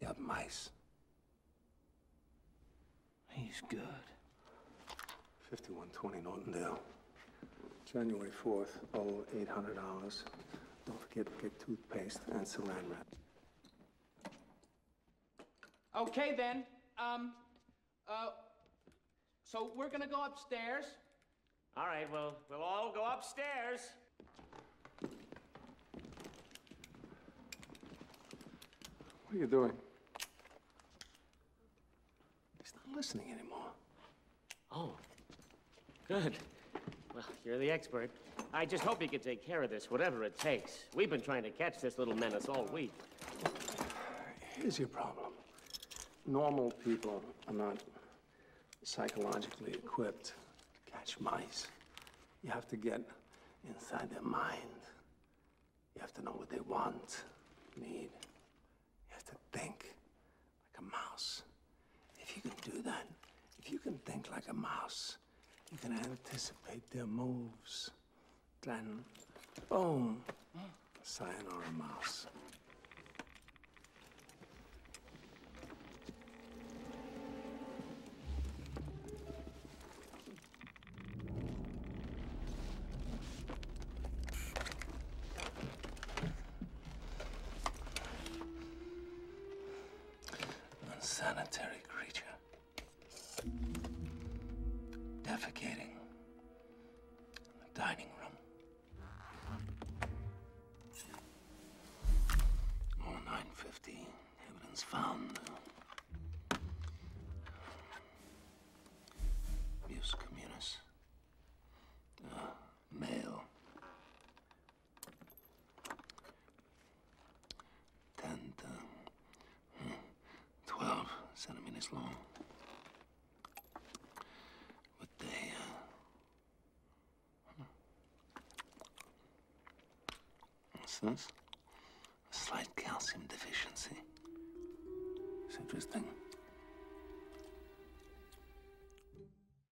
You have mice. He's good. 5120 Nortondale. January 4th, owe $800. Don't forget to get toothpaste and saran Okay, then. Um, uh, so we're gonna go upstairs. All right, well, we'll all go upstairs. What are you doing? He's not listening anymore. Oh, good. Well, you're the expert. I just hope you can take care of this, whatever it takes. We've been trying to catch this little menace all week. Here's your problem. Normal people are not psychologically equipped to catch mice. You have to get inside their mind. You have to know what they want, need, you have to think like a mouse. If you can do that, if you can think like a mouse, you can anticipate their moves. Then, boom, sayonara mouse. Unsanitary creature. Defecating in the dining room. All 950 evidence found. Abuse male. Ten, hmm. twelve centimeters long. What a uh, what's this? A slight calcium deficiency. It's interesting.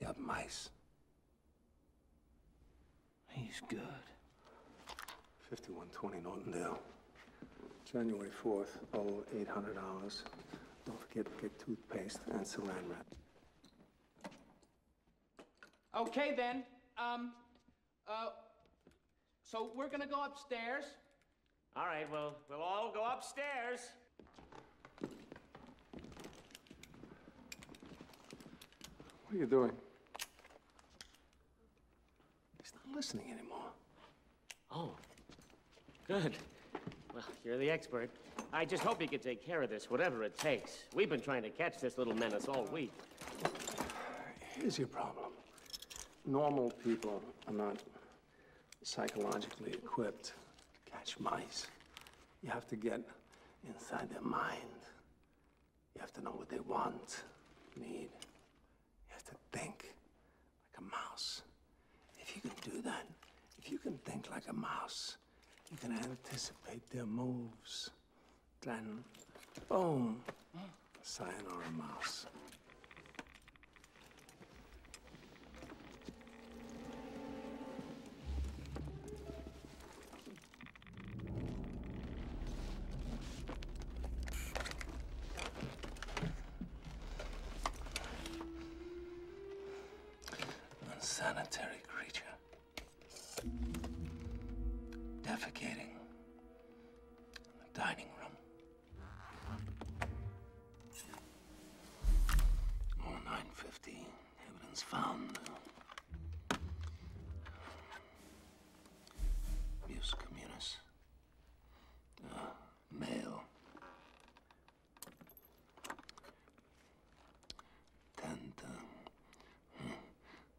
You mice. He's good. 5120 Nortondale. January 4th, oh, 800 hours. Don't forget to get toothpaste and saran wrap. Okay, then. Um, uh, so we're gonna go upstairs. All right, well, we'll all go upstairs. What are you doing? He's not listening anymore. Oh, good. Well, you're the expert. I just hope you can take care of this, whatever it takes. We've been trying to catch this little menace all week. Here's your problem. Normal people are not psychologically equipped to catch mice. You have to get inside their mind. You have to know what they want, need. You have to think like a mouse. If you can do that, if you can think like a mouse, you can anticipate their moves. Then, boom, a cyan or a mouse? Sanitary creature. Defecating in the dining room. Oh, 950. Evidence found. Muse communis. Uh, male. Ten, ten, uh, hmm,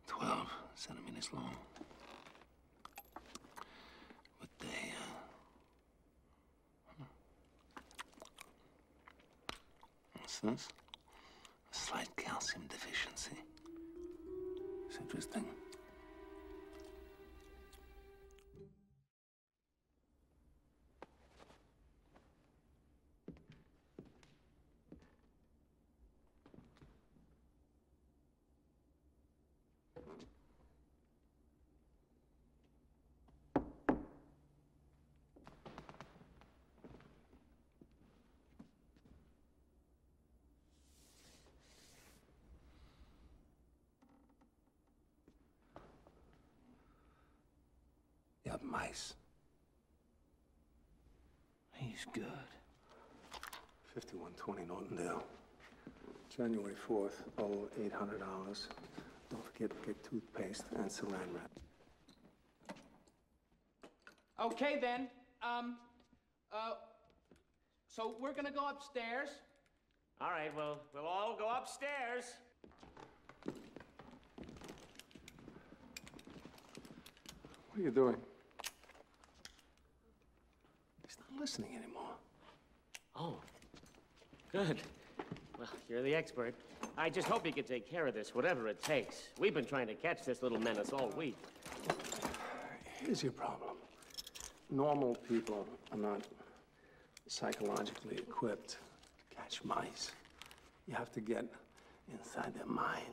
twelve centimeters long. But they, uh, what's this? A slight calcium deficiency. It's interesting. You have mice. He's good. 5120 Nortondale, January 4th, oh, $800. Don't forget to get toothpaste and saran wrap. Okay, then. Um, uh, so we're gonna go upstairs. All right, well, we'll all go upstairs. What are you doing? He's not listening anymore. Oh, good. Well, you're the expert. I just hope you can take care of this, whatever it takes. We've been trying to catch this little menace all week. Here's your problem. Normal people are not psychologically equipped to catch mice. You have to get inside their mind.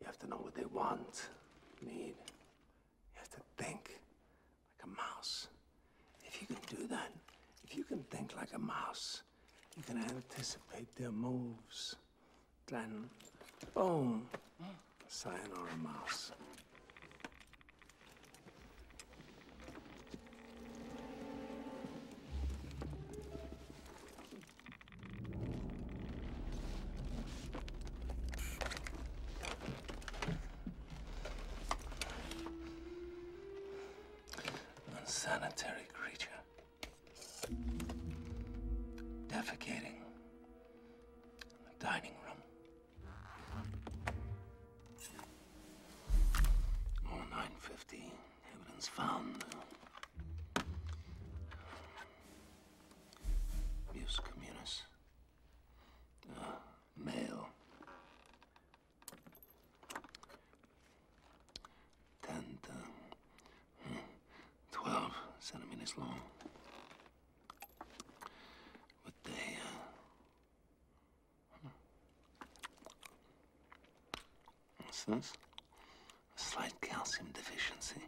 You have to know what they want, need, you have to think like a mouse. If you can do that, if you can think like a mouse, you can anticipate their moves. Then, boom, sayonara mouse. Unsanitary creature. Defecating in the dining room. Or 950, evidence found. Abuse communis. Male, Ten, uh, 12 centimeters long. What a, what's this? slight calcium deficiency.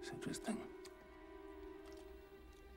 It's interesting.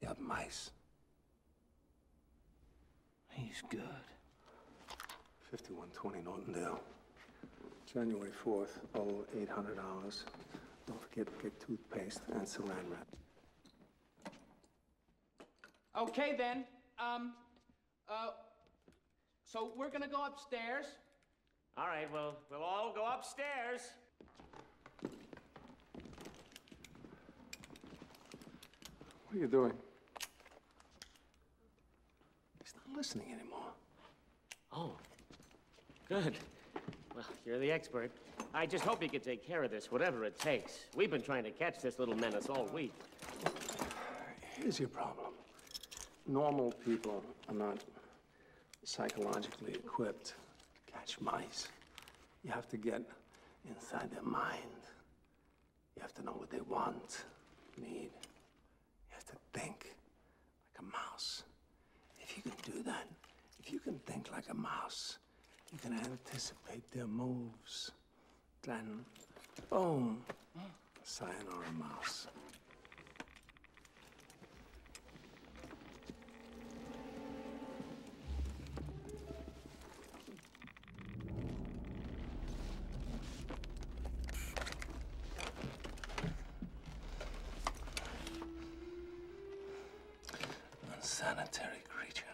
You have mice. He's good. 5120 Nortondale. January 4th, 800 hours. Don't forget to get toothpaste and saran wrap. Okay, then. Um, uh, so we're gonna go upstairs. All right, well, we'll all go upstairs. What are you doing? He's not listening anymore. Oh, good. Well, you're the expert. I just hope you can take care of this, whatever it takes. We've been trying to catch this little menace all week. Here's your problem normal people are not psychologically equipped to catch mice. You have to get inside their mind. You have to know what they want, need. You have to think like a mouse. If you can do that, if you can think like a mouse, you can anticipate their moves. Then, boom, a Sayonara mouse. Unsanitary creature.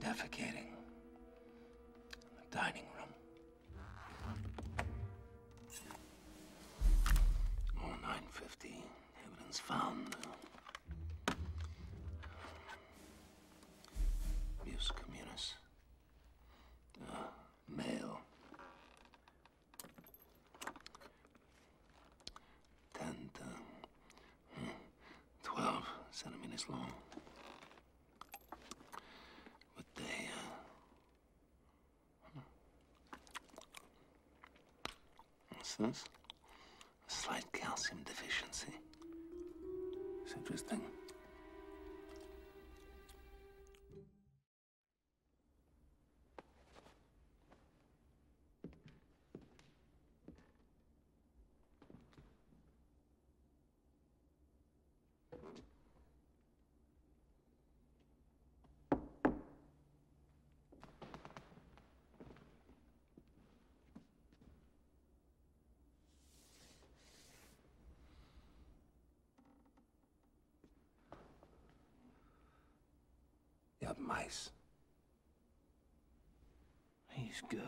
Defecating in the dining room. Or 950. Evidence found. Abuse communis. Uh, male. Ten, ten, uh, hmm, twelve centimeters long. But they, uh, what's this? slight calcium deficiency. It's interesting. You have mice. He's good.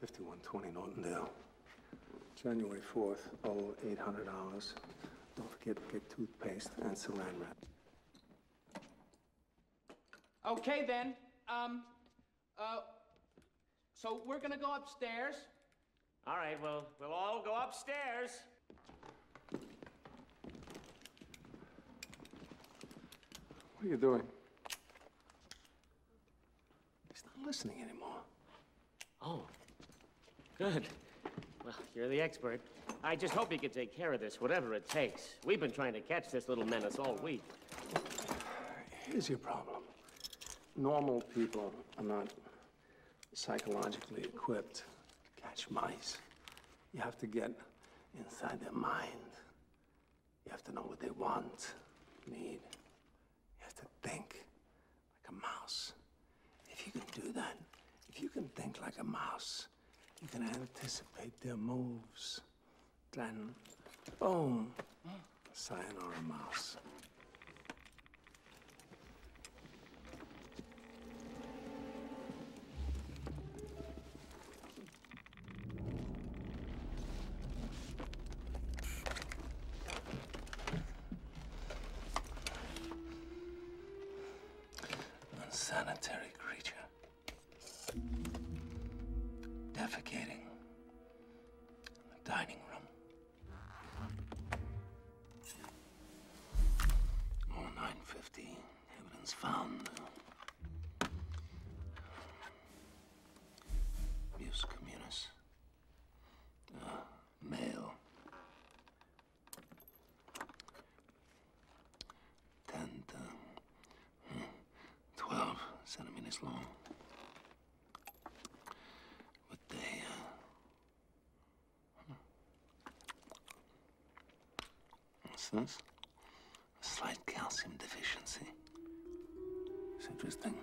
5120 Nortondale, January 4th, all $800. Don't forget to get toothpaste and saran wrap. Okay, then. Um, uh, so we're gonna go upstairs. All right, well, we'll all go upstairs. What are you doing? He's not listening anymore. Oh, good. Well, you're the expert. I just hope you can take care of this, whatever it takes. We've been trying to catch this little menace all week. Here's your problem. Normal people are not psychologically equipped to catch mice. You have to get inside their mind. You have to know what they want, need. You have to think like a mouse. If you can do that, if you can think like a mouse, you can anticipate their moves. Then, or a mouse. Unsanitary creature. Defecating in the dining room. Oh, 950. Evidence found. Abuse communis. Uh, mail. Ten, ten, hmm. twelve centimeters long. With a hmm. what's this? A slight calcium deficiency. It's interesting.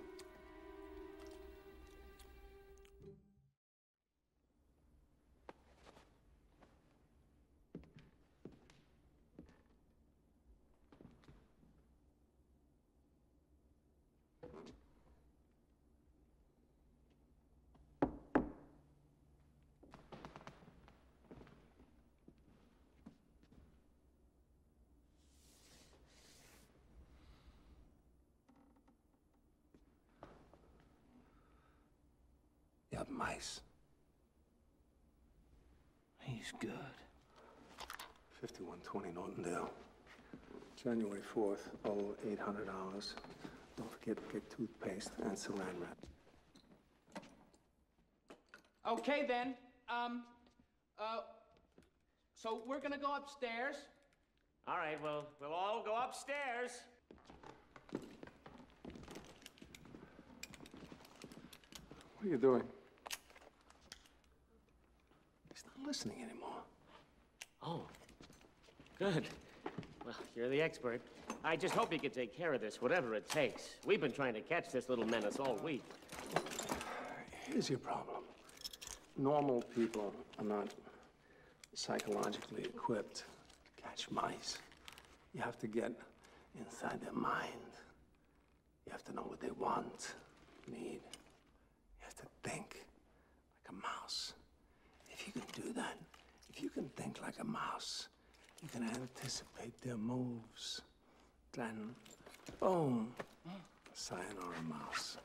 You have mice. He's good. 5120 Nortondale. January 4th, oh, $800. Don't forget to get toothpaste and saran wrap. Okay, then. Um, uh, so we're gonna go upstairs. All right, well, we'll all go upstairs. What are you doing? He's not listening anymore. Oh, good. Well, you're the expert. I just hope you can take care of this, whatever it takes. We've been trying to catch this little menace all week. Here's your problem normal people are not psychologically equipped to catch mice. You have to get inside their mind. You have to know what they want, need. You have to think like a mouse. If you can do that, if you can think like a mouse, you can anticipate their moves. Then, boom, sayonara mouse.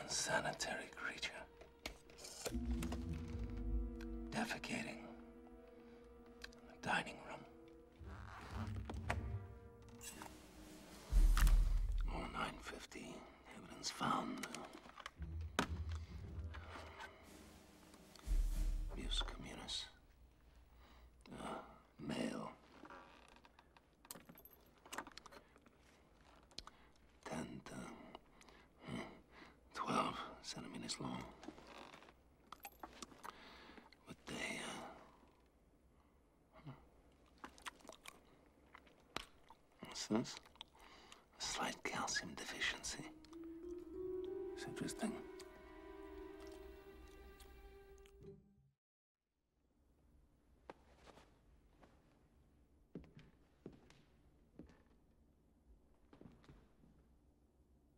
Unsanitary creature. Defecating the dining room. More 950. Evidence found. Abuse communis. Uh, male. Ten, ten, uh, hmm, twelve centimeters long. But they, what's this? slight calcium deficiency. It's interesting.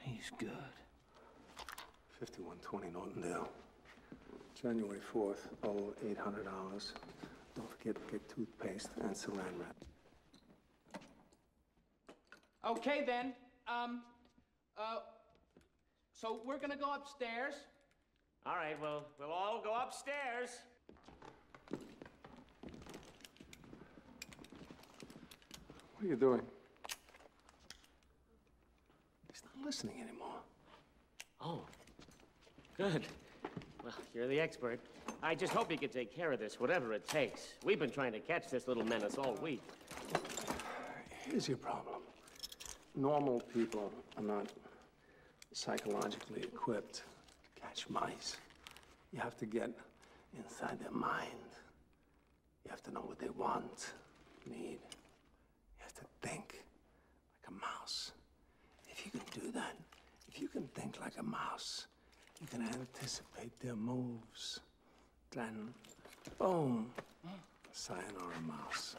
He's good. 5120 Nortondale. January 4th, oh, $800. Don't forget to get toothpaste and saran wrap. Okay, then. Um, uh, so we're gonna go upstairs. All right, well, we'll all go upstairs. What are you doing? He's not listening anymore. Oh, good. Well, you're the expert. I just hope you can take care of this, whatever it takes. We've been trying to catch this little menace all week. Here's your problem. Normal people are not psychologically equipped to catch mice. You have to get inside their mind. You have to know what they want, need. You have to think like a mouse. If you can do that, if you can think like a mouse, you can anticipate their moves. Then, boom, sayonara mouse.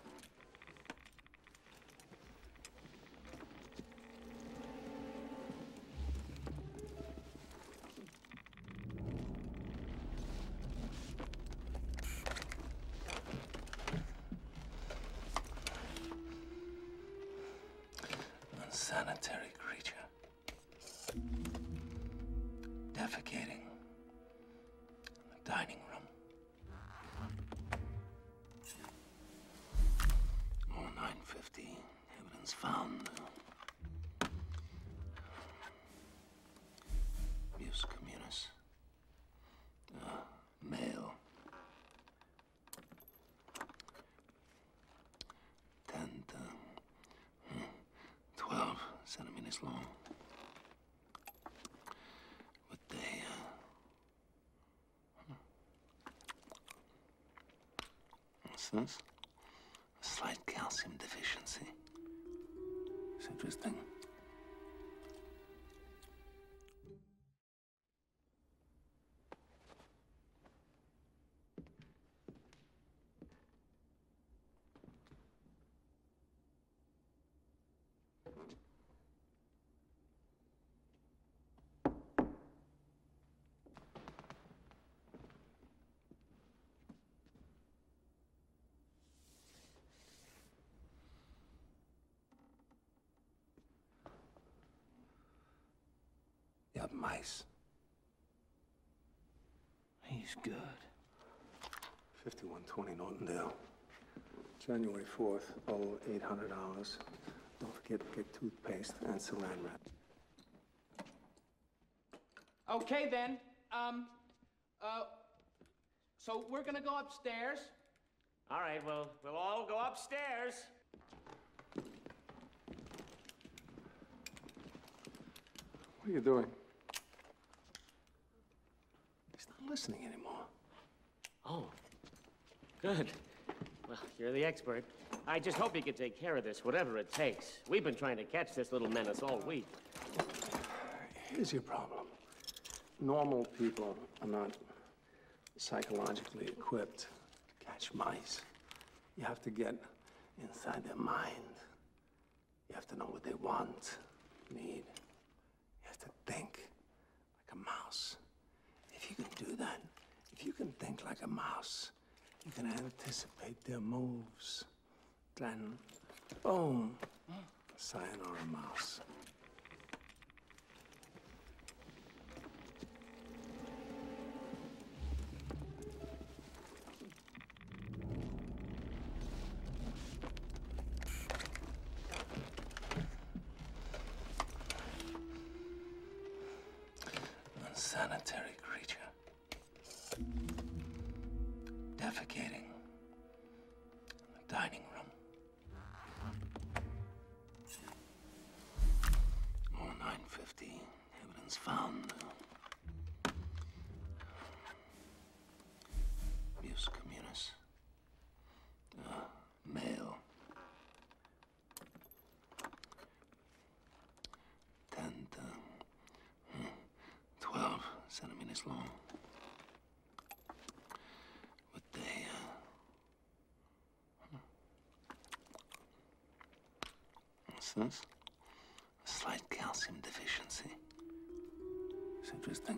Unsanitary creature. Defecating in the dining room. Oh, 950. Evidence found. Mius communis. Ah, male. Ten, twelve centimeters long. But they, what's this? a slight calcium deficiency. It's interesting. You have mice. He's good. 5120 Nortondale. January 4th, oh, $800. Don't forget to get toothpaste and saran Okay, then. Um, uh, so we're gonna go upstairs. All right, well, we'll all go upstairs. What are you doing? He's not listening anymore. Oh, good. Well, you're the expert. I just hope you can take care of this, whatever it takes. We've been trying to catch this little menace all week. Here's your problem. Normal people are not psychologically equipped to catch mice. You have to get inside their mind. You have to know what they want, need. You have to think like a mouse. If you can do that, if you can think like a mouse, you can anticipate their moves. Then, boom, sayonara mouse. Unsanitary creature. Defecating. In the dining room. More 950. Evidence found. Abuse uh, male. Ten, ten. Uh, 12 centimeters long. But they, uh, What's this? A slight calcium deficiency. interesting.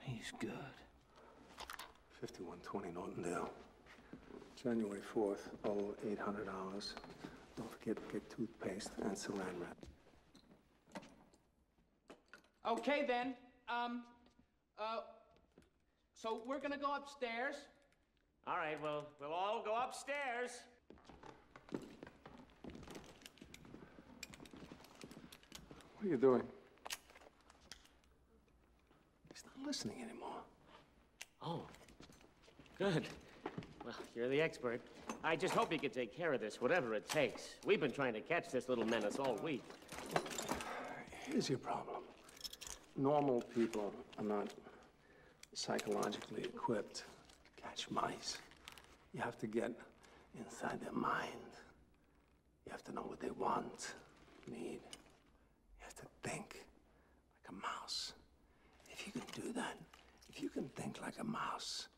He's good. 5120 Nortondale. January 4th, oh, $800. Don't forget to get toothpaste and saran wrap. Okay, then. Um, uh, so we're gonna go upstairs. All right, well, we'll all go upstairs. What are you doing? He's not listening anymore. Oh, good. Well, you're the expert. I just hope you can take care of this, whatever it takes. We've been trying to catch this little menace all week. Here's your problem. Normal people are not psychologically equipped to catch mice. You have to get inside their mind. You have to know what they want, need. You have to think like a mouse. If you can do that, if you can think like a mouse,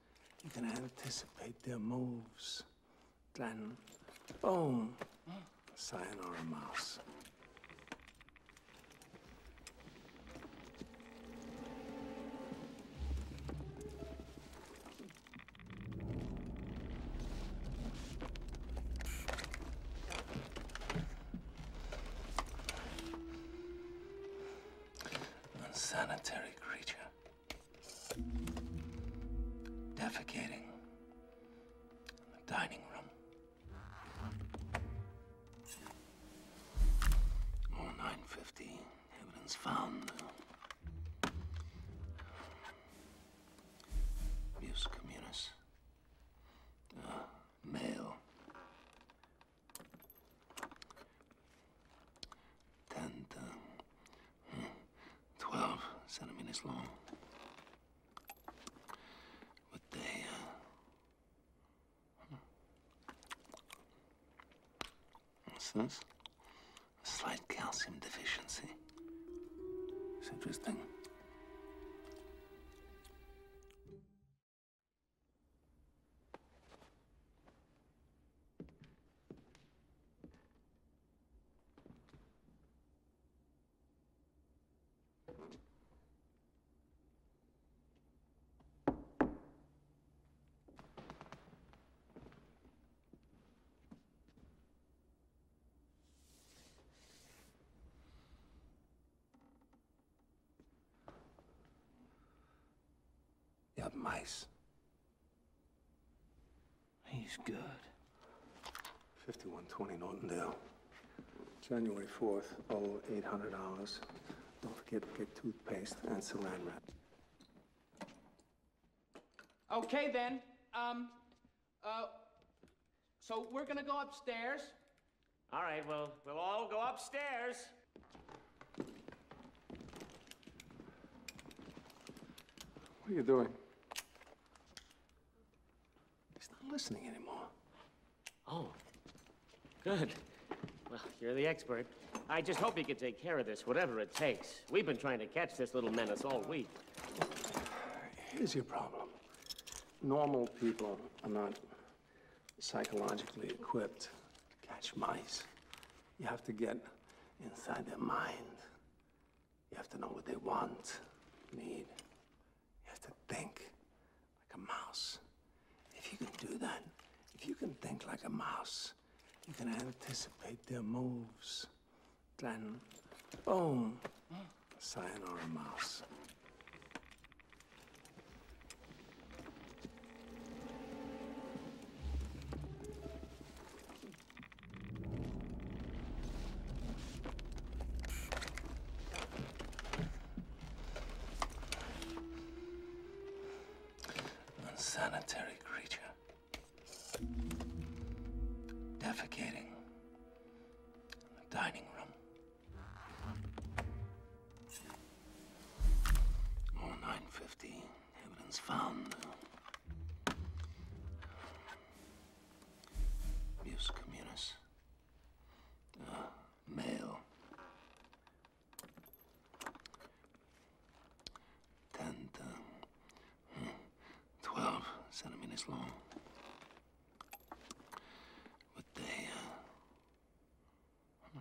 you can anticipate their moves. Then, or a mouse. Unsanitary creature. Defecating in the dining room. Oh, Evidence found. Muse communis. Uh, male. Ten to uh, hmm, 12 centimeters long. With a What's this? A slight calcium deficiency. interesting. You have mice. He's good. 5120 Nortondale. January 4th, all $800. Don't forget to get toothpaste and saran Okay, then. Um, uh, so we're gonna go upstairs. All right, well, we'll all go upstairs. What are you doing? He's not listening anymore. Oh, good. Well, you're the expert. I just hope you can take care of this, whatever it takes. We've been trying to catch this little menace all week. Here's your problem. Normal people are not psychologically equipped to catch mice. You have to get inside their mind. You have to know what they want, need. You have to think like a mouse. If you can do that, if you can think like a mouse, you can anticipate their moves kleinen, boom, a mouse. Unsanitary creature. Defecating. In the dining room. Oh, 950. Evidence found. Abuse communis. Uh, male. Tent, uh, 12 centimeters long. But they, uh,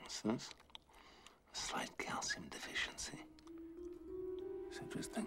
what's this? slight calcium deficiency. interesting.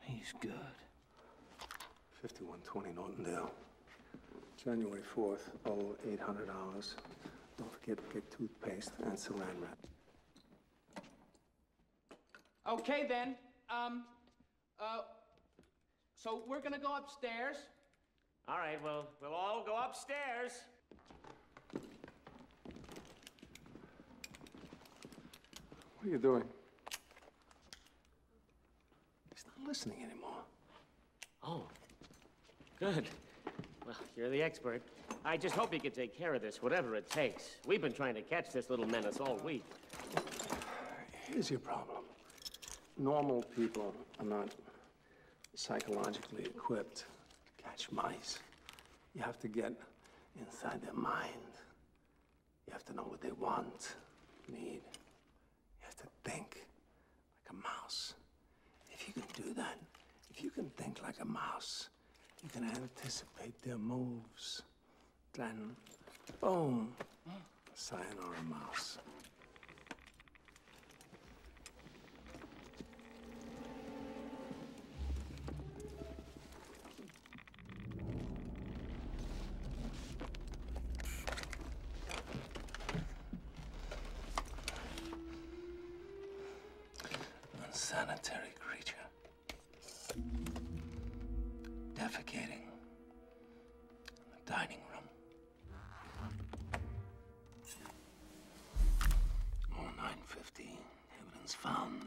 He's good. 5120 Nortondale. January 4th, oh, 800 hours. Don't forget to get toothpaste and salamander. Okay, then. Um, uh, so we're gonna go upstairs. All right, well, we'll all go upstairs. What are you doing? He's not listening anymore. Oh, good. Well, you're the expert. I just hope you can take care of this, whatever it takes. We've been trying to catch this little menace all week. Here's your problem. Normal people are not psychologically equipped to catch mice. You have to get inside their mind. You have to know what they want, need. You have to think like a mouse. If you can do that, if you can think like a mouse, you can anticipate their moves. Then, boom, sayonara mouse. Unsanitary creature. Defecating in the dining room. More Evidence found.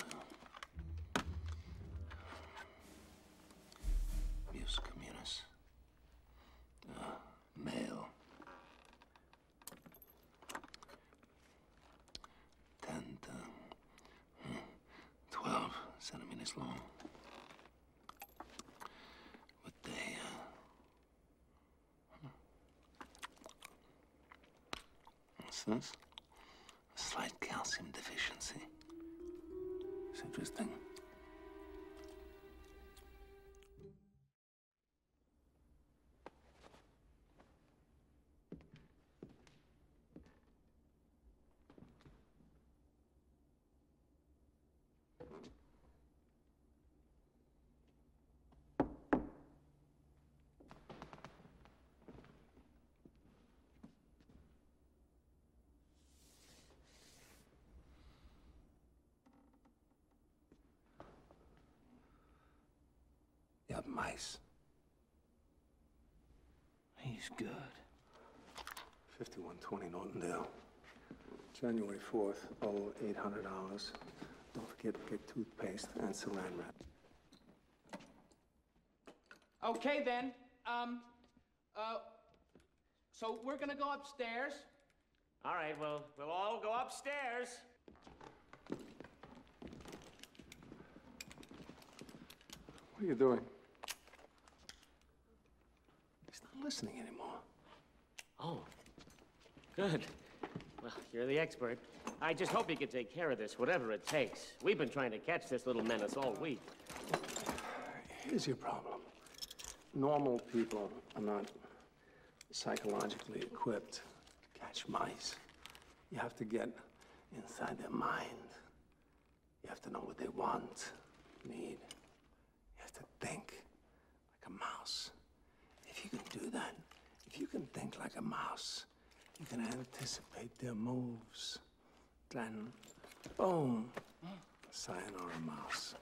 Mus communis. Uh, male. Ten, ten, uh, hmm, twelve centimeters long. Uh, What's this? A slight calcium deficiency. interesting. You have mice. He's good. 5120 Nortondale. January 4th, oh, $800. Don't forget to get toothpaste and saran wrap. Okay, then. Um, uh, so we're gonna go upstairs. All right, well, we'll all go upstairs. What are you doing? He's not listening anymore. Oh, good. Well, you're the expert. I just hope you can take care of this, whatever it takes. We've been trying to catch this little menace all week. Here's your problem. Normal people are not psychologically equipped to catch mice. You have to get inside their mind. You have to know what they want, need. You have to think like a mouse. If you can do that, if you can think like a mouse, you can anticipate their moves. Then, boom, sayonara mouse.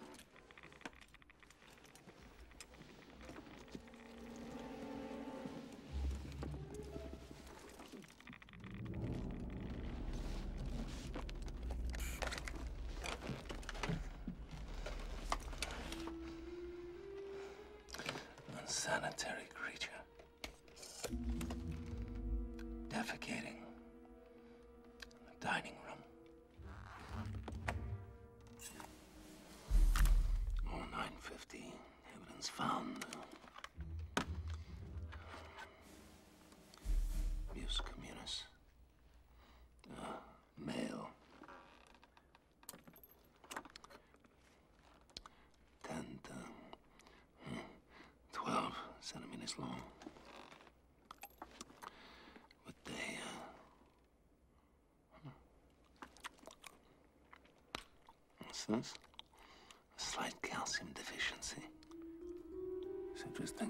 Unsanitary creature. Defecating. In the dining room. More 950. Evidence found. Abuse uh, male. 10, 12 centimeters long. What a, uh, what's this? A slight calcium deficiency. It's interesting.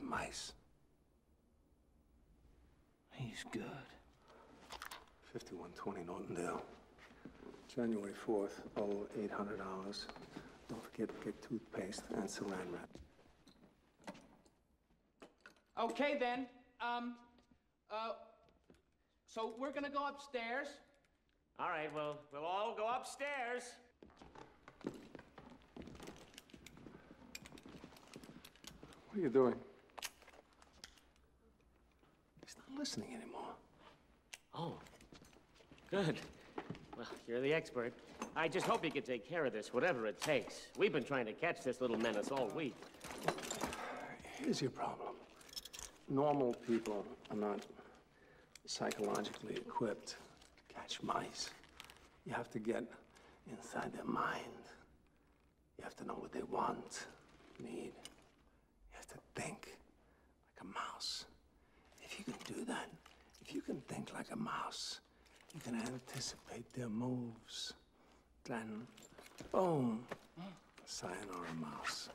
mice. He's good. 5120 Nortondale. January 4th, owe $800. Don't forget to get toothpaste and saran Okay, then. Um, uh, so we're gonna go upstairs. All right, well, we'll all go upstairs. What are you doing? He's not listening anymore. Oh, good. Well, you're the expert. I just hope you can take care of this, whatever it takes. We've been trying to catch this little menace all week. Here's your problem. Normal people are not psychologically equipped to catch mice. You have to get inside their mind. You have to know what they want, need. You have to think like a mouse. If you can do that, if you can think like a mouse, you can anticipate their moves. Then, boom, sayonara mouse.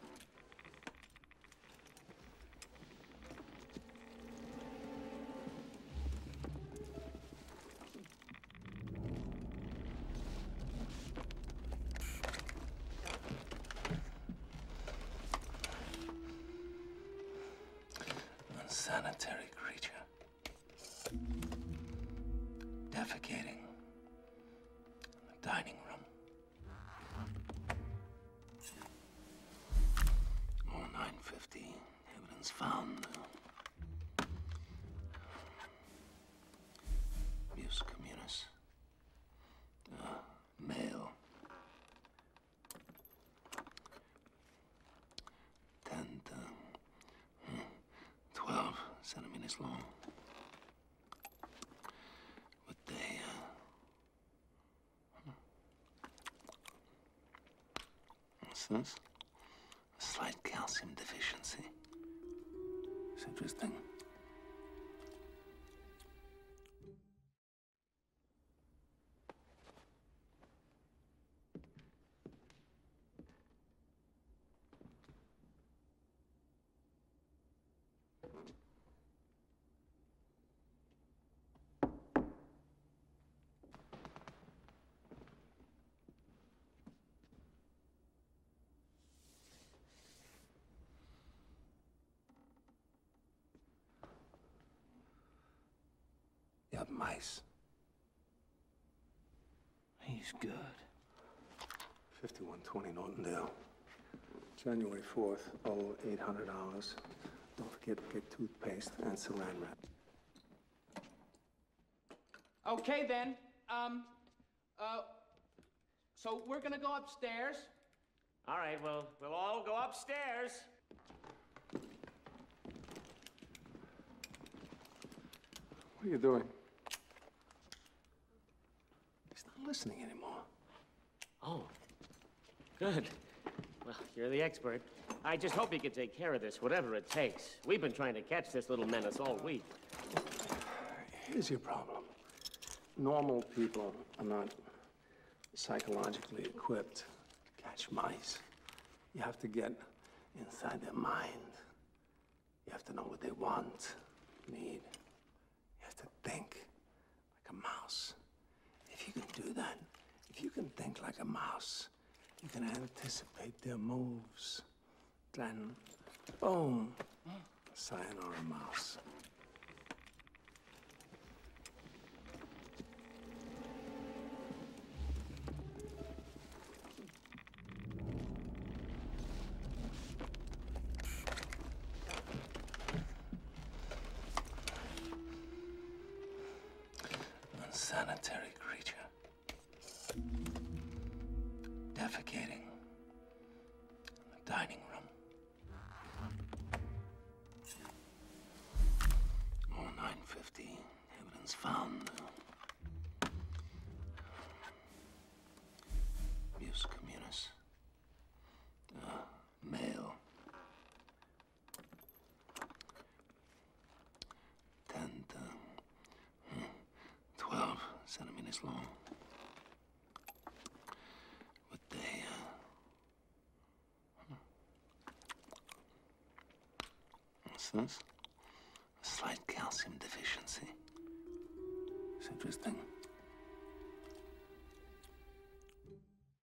Unsanitary creature. Defecating in the dining room. Oh, Evidence found. Muse ah, male. Ten, uh, hmm, twelve centimeters long. But they, uh, What's this? A slight calcium deficiency. It's interesting. You have mice. He's good. 5120 Nortondale. January 4th, $800. Don't forget to get toothpaste and saran wrap. Okay, then. Um, uh, so we're gonna go upstairs. All right, well, we'll all go upstairs. What are you doing? He's not listening anymore. Oh, good. Well, you're the expert. I just hope you can take care of this, whatever it takes. We've been trying to catch this little menace all week. Here's your problem. Normal people are not psychologically equipped to catch mice. You have to get inside their mind. You have to know what they want, need. You have to think like a mouse. If you can do that, if you can think like a mouse, you can anticipate their moves. Then, boom, sayonara mouse. Unsanitary creature. Defecating in the dining room. More 950. Evidence found. Abuse communis. Uh, male. Ten, ten, twelve centimeters long. With a uh, what's this? A slight calcium deficiency. It's interesting.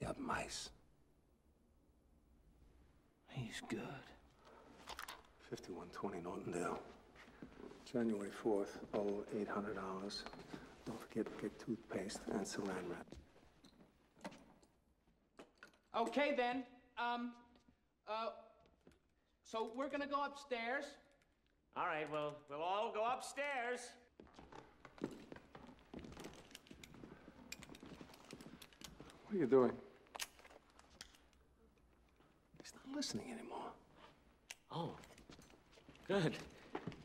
Ihr habt Mais. He's good. 5120 Nortondale. January 4th, oh, $800. Don't forget to get toothpaste and saran wrap. Okay, then. Um, uh, so we're gonna go upstairs. All right, well, we'll all go upstairs. What are you doing? He's not listening anymore. Oh, good.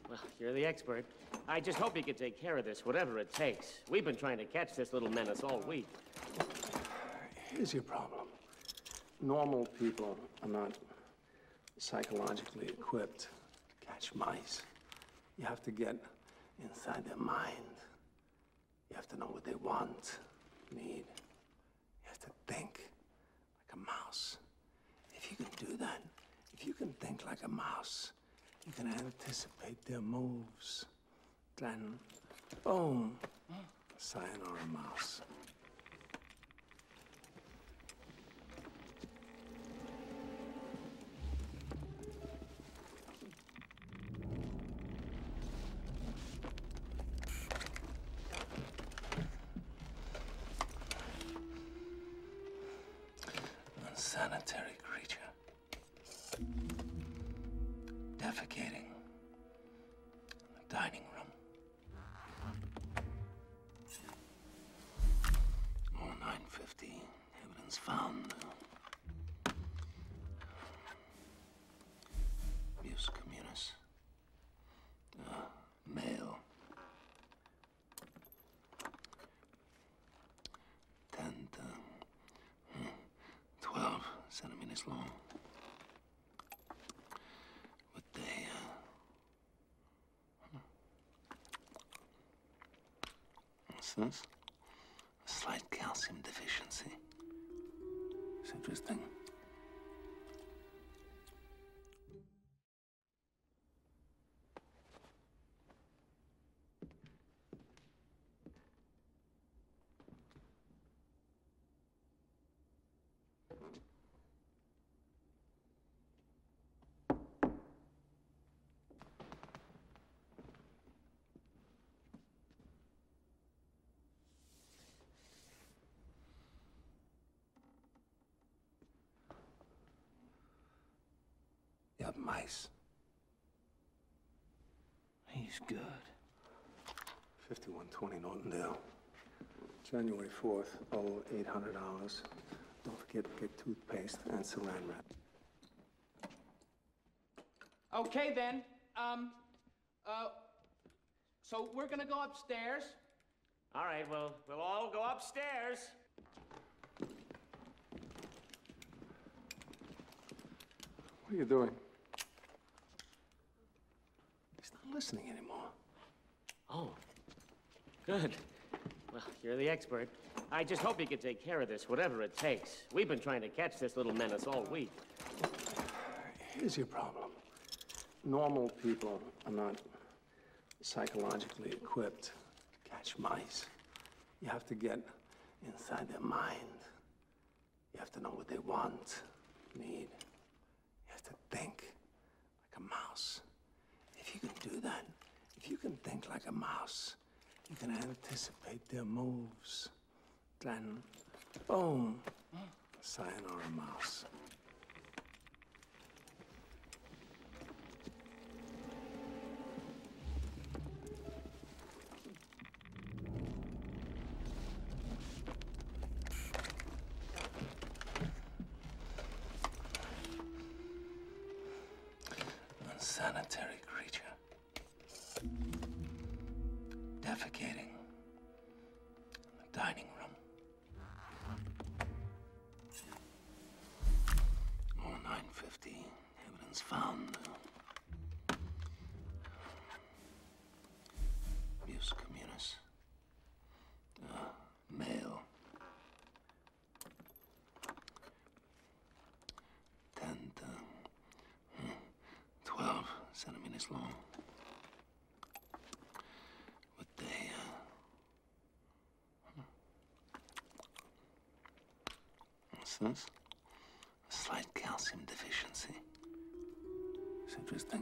Well, you're the expert. I just hope you can take care of this, whatever it takes. We've been trying to catch this little menace all week. Here's your problem. Normal people are not psychologically equipped to catch mice. You have to get inside their mind. You have to know what they want, need. You have to think like a mouse. If you can do that, if you can think like a mouse, you can anticipate their moves. Then, boom, mm. sign or a mouse. Unsanitary creature. Defecating in the dining room. Oh, Evidence found. Abuse male. Ten uh, twelve centimeters long. With a What's this? A slight calcium deficiency. It's interesting. You mice. He's good. 5120 Nortondale. January 4th, oh, 0800 hours. Don't forget to get toothpaste and saran wrap. Okay, then. Um, uh, so we're gonna go upstairs. All right, well, we'll all go upstairs. What are you doing? He's not listening anymore. Oh, Good. Well, you're the expert. I just hope you can take care of this, whatever it takes. We've been trying to catch this little menace all week. Here's your problem. Normal people are not psychologically equipped to catch mice. You have to get inside their mind. You have to know what they want, need. You have to think like a mouse. If you can do that, if you can think like a mouse, you can anticipate their moves. Then, boom, sayonara mouse. Unsanitary creature. Defecating in the dining room. 950. Evidence found. Abuse communis. Uh, male. Ten, ten, hmm. twelve centimeters long. With a uh, what's this? slight calcium deficiency. It's interesting.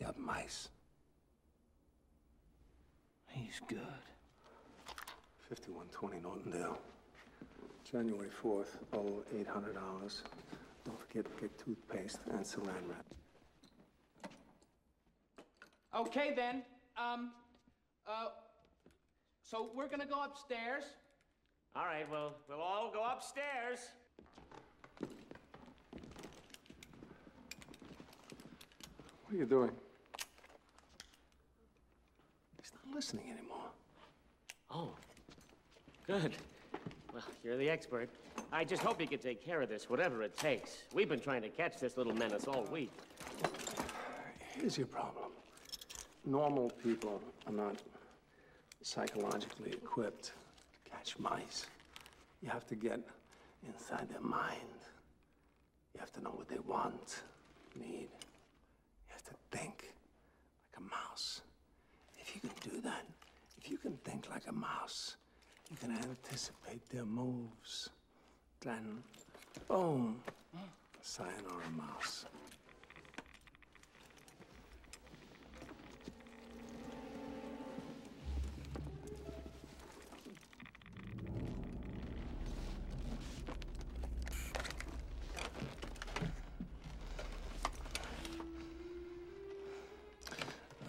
You mice. He's good. 5120 Nortondale. January 4th, oh, $800. hours. do not forget to get toothpaste and saran wrap. Okay, then. Um, uh, so we're gonna go upstairs. All right, well, we'll all go upstairs. What are you doing? He's not listening anymore. Oh, good. Well, you're the expert. I just hope you can take care of this, whatever it takes. We've been trying to catch this little menace all week. Here's your problem. Normal people are not psychologically equipped to catch mice. You have to get inside their mind. You have to know what they want, need. You have to think like a mouse. If you can do that, if you can think like a mouse, you can anticipate their moves. Then, boom, sign a mouse.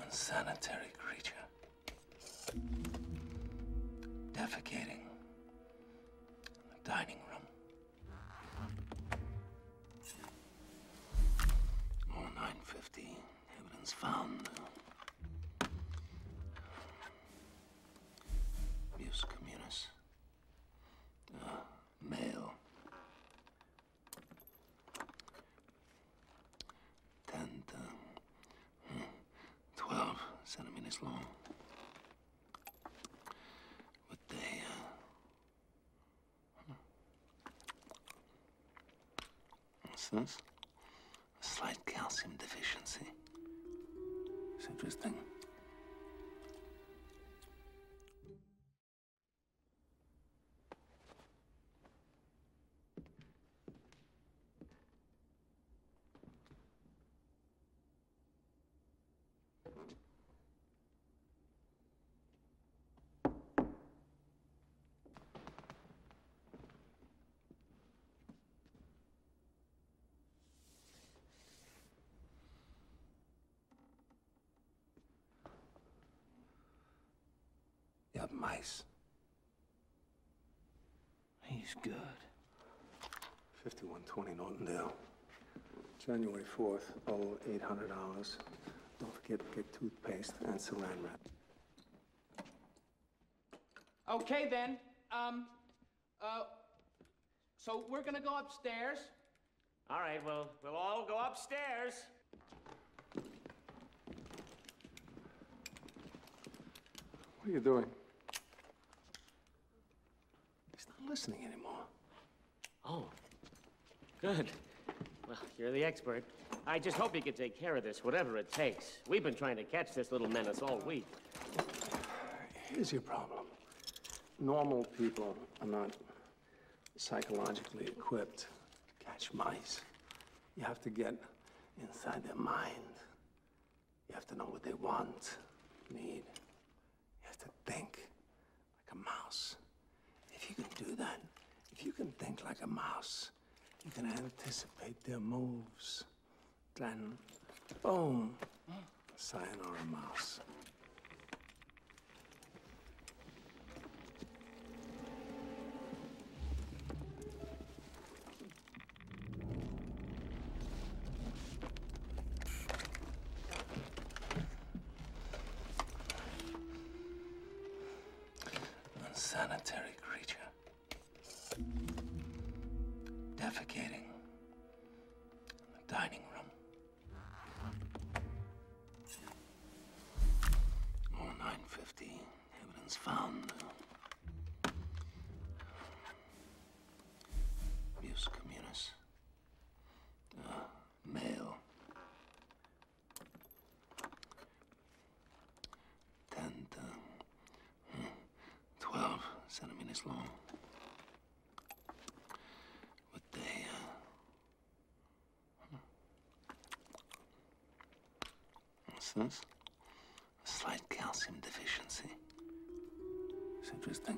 Unsanitary creature. Defecating in the dining room. More 950. Evidence found. Abuse communis. Uh, male. Ten, ten, uh, twelve centimeters long. With a uh, What's this? A slight calcium deficiency. It's interesting. You have mice. He's good. 5120 Norton Dale. January 4th, oh, 0800 hours. Don't forget to get toothpaste and saran wrap. Okay, then. Um, uh, so we're gonna go upstairs. All right, well, we'll all go upstairs. What are you doing? He's not listening anymore. Oh, good. Well, you're the expert. I just hope you can take care of this, whatever it takes. We've been trying to catch this little menace all week. Here's your problem. Normal people are not psychologically equipped to catch mice. You have to get inside their mind. You have to know what they want, need. You have to think like a mouse. If you can do that, if you can think like a mouse, you can anticipate their moves. Then, boom, sayonara mouse. Unsanitary creature. Defecating in the dining room. Oh, Evidence found. Abuse uh, male. Ten, ten, hmm. twelve centimeters long. But they, uh, what's this? A slight calcium deficiency. It's interesting.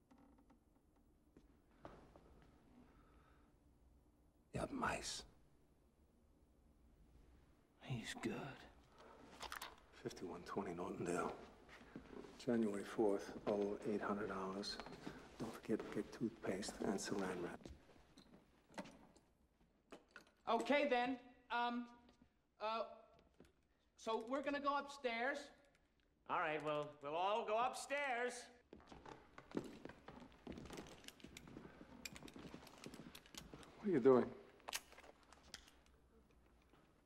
You have mice. He's good. 5120 Nortondale. January 4th, all $800. Don't forget to get toothpaste and saran wrap. Okay, then. Um, uh, so we're gonna go upstairs. All right, well, we'll all go upstairs. What are you doing?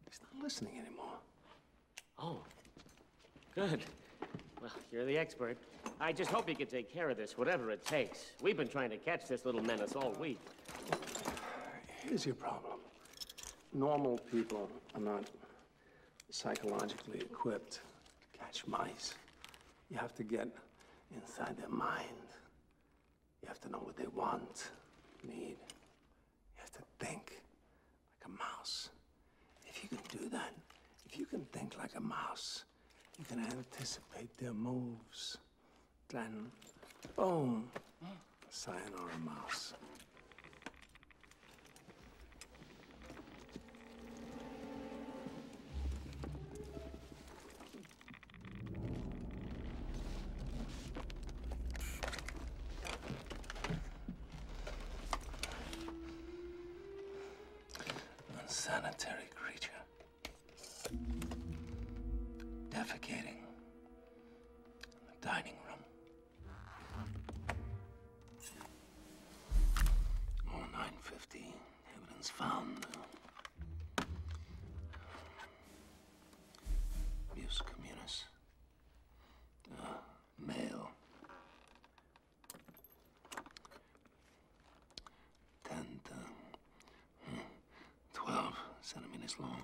He's not listening anymore. Oh, good. Well, you're the expert. I just hope you can take care of this, whatever it takes. We've been trying to catch this little menace all week. Here's your problem. Normal people are not psychologically equipped to catch mice. You have to get inside their mind. You have to know what they want, need. You have to think like a mouse. If you can do that, if you can think like a mouse, you can anticipate their moves. Then, sign or a mouse. Unsanitary creature. Defecating in the dining room. Oh, 950. Evidence found. Muse uh, male. Ten, uh, hmm, twelve centimeters long.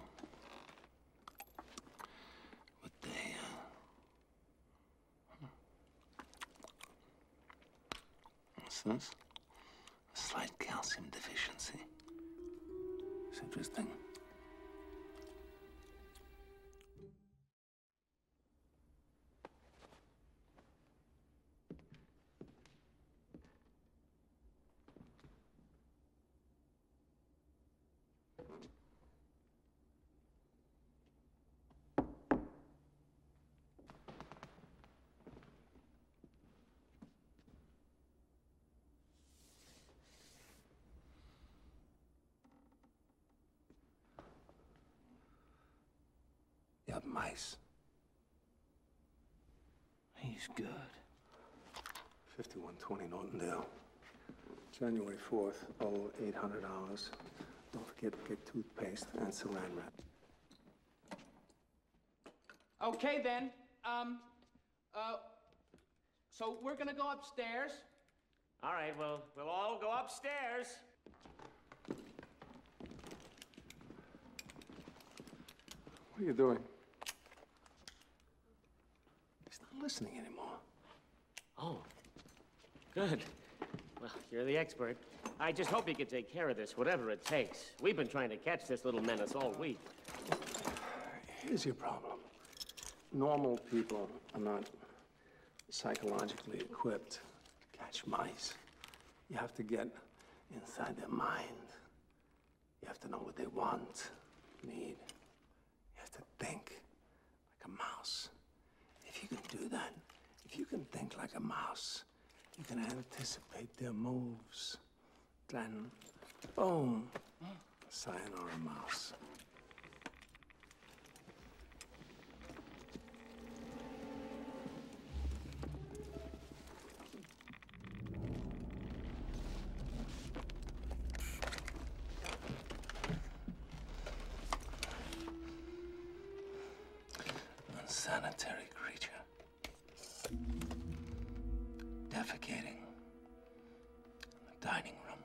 But they, uh, What's this? A slight calcium deficiency. It's interesting. Ihr habt Mais. He's good. 5120 Nortondale. January 4th, owe $800. Don't forget to get toothpaste and saran wrap. Okay, then. Um, uh, so we're gonna go upstairs. All right, well, we'll all go upstairs. What are you doing? He's not listening anymore. Oh, good. Well, you're the expert. I just hope you can take care of this, whatever it takes. We've been trying to catch this little menace all week. Here's your problem. Normal people are not psychologically equipped to catch mice. You have to get inside their mind. You have to know what they want, need, you have to think like a mouse. If you can do that, if you can think like a mouse, you can anticipate their moves. Then, or a mouse. Unsanitary creature. Defecating in the dining room.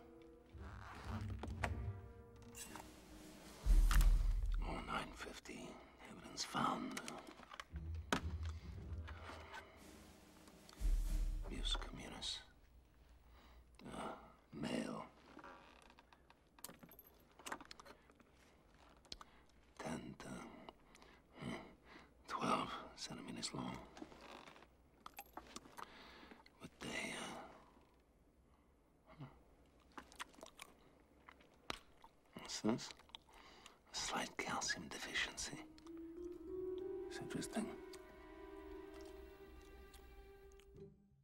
More Evidence found. Abuse Male, Ten, uh, twelve centimeters long. With a uh, what's this? A slight calcium deficiency. interesting.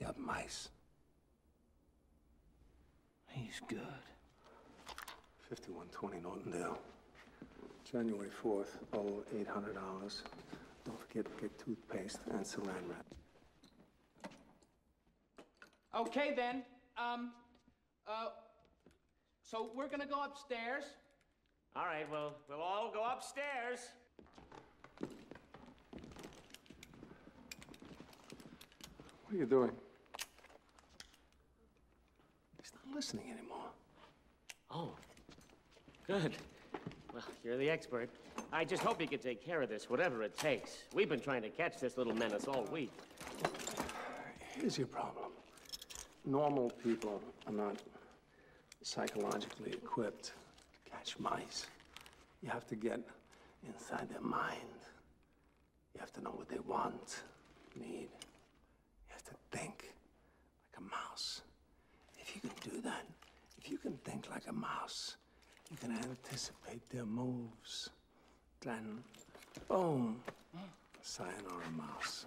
You have mice. He's good. 5120 Nortondale. January 4th, oh, $800. Don't forget to get toothpaste and saran wrap. Okay, then. Um, uh, so we're gonna go upstairs. All right, well, we'll all go upstairs. What are you doing? He's not listening anymore. Oh, good. Well, you're the expert. I just hope you can take care of this, whatever it takes. We've been trying to catch this little menace all week. Here's your problem. Normal people are not psychologically equipped to catch mice. You have to get inside their mind. You have to know what they want, need. You have to think like a mouse. If you can do that, if you can think like a mouse, you can anticipate their moves. Then, boom, a or a Mouse.